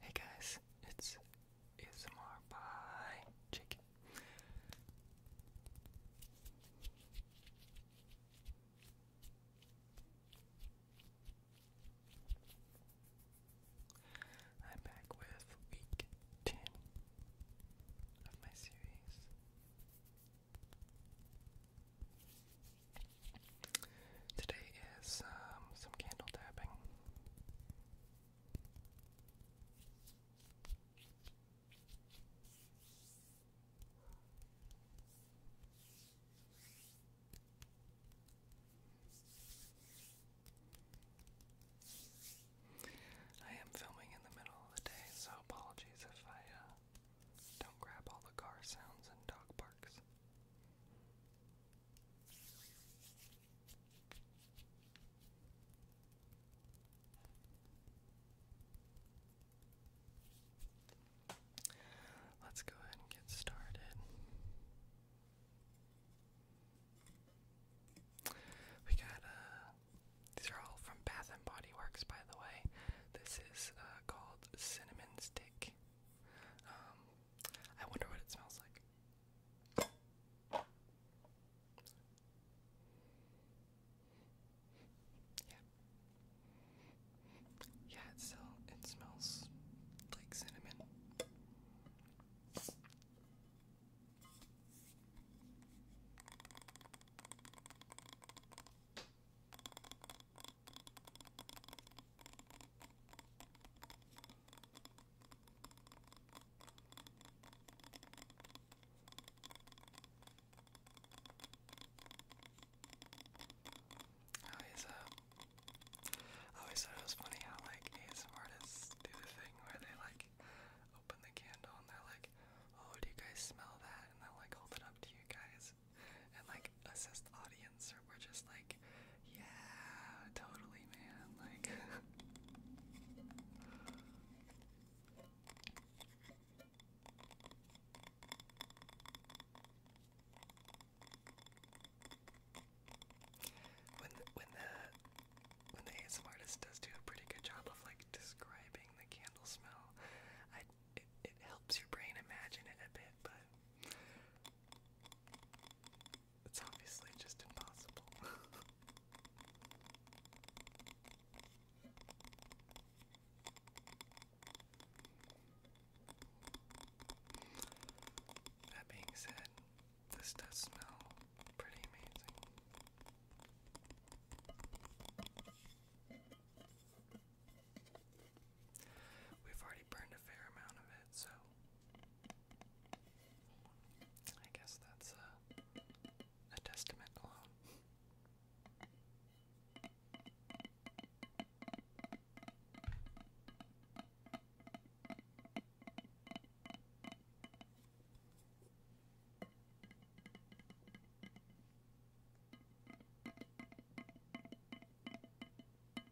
Hey guys, it's ASMR by Jake. I'm back with week 10 of my series. Today is um, some candle tapping. I am filming in the middle of the day, so apologies if I uh, don't grab all the car sounds and dog barks. Let's go ahead and get started. We got, uh, these are all from Bath and Body Works, by the way. This is uh, called Cinnamon Stick. Um, I wonder what it smells like. Yeah, it still it smells like cinnamon. Oh, he's a. I always thought it was funny how like ASM artists do the thing where they like open the candle and they're like, "Oh, do you guys smell that?" and then like hold it up to you guys and like assess the audience we're just like, yeah, totally, man. Like, when when the when the ASM artist does do a pretty good job of like describing the candle smell, it helps your brain imagine it a bit, but. It's obviously just impossible. that being said, this does smell pretty amazing. We've already burned a fair amount of it, so I guess that's uh, a testament alone.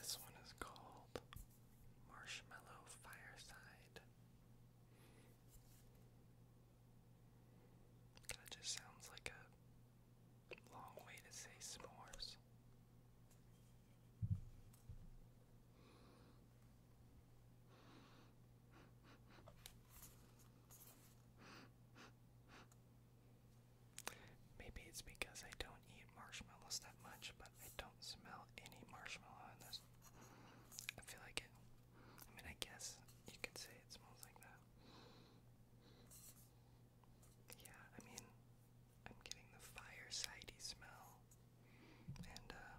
This one is called Marshmallow Fireside. That just sounds like a Long way to say s'mores. Maybe it's because I don't eat marshmallows that much, but I don't smell any marshmallow in this. I feel like it. I mean, I guess you could say it smells like that yeah, I mean, I'm getting the firesidey smell, and uh,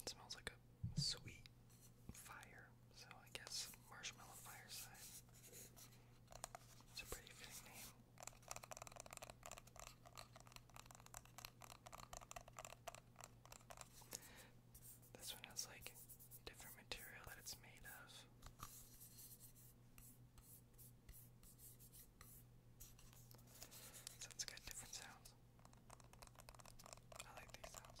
it smells like a sweet fire. So I guess marshmallow fireside. It's a pretty fitting name. This one has like different material that it's made of. Sounds good, different sounds. I like these sounds.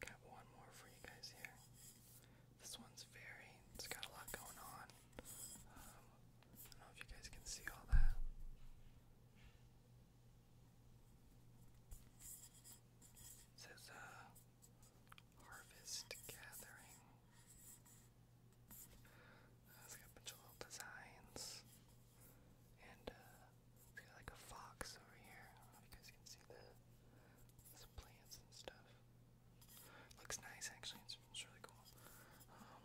Got one more for you guys here. This one's very, it's got a lot going on. Um, I don't know if you guys can see all that. says, uh, Harvest Gathering. it's got a bunch of little designs. And uh, it's got like a fox over here. I don't know if you guys can see that. Some plants and stuff. Looks nice actually, it's, it's really cool. Um,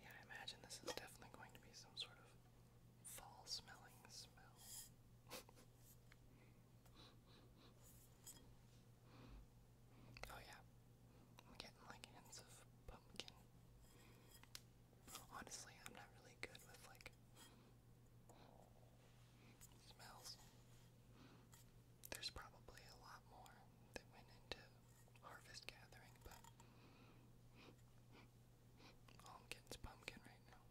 yeah, I imagine this is definitely going to be some sort of fall smelling smell. oh yeah, I'm getting like hints of pumpkin. Honestly, I'm not really good with like smells. There's probably a lot more that went into harvest gathering, but all I'm getting is pumpkin right now.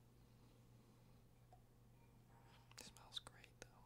It smells great though.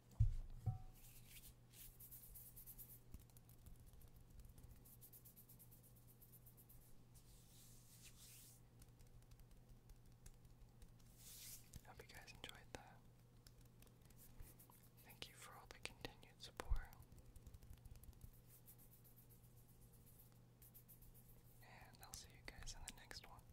Hope you guys enjoyed that. Thank you for all the continued support. And I'll see you guys in the next one.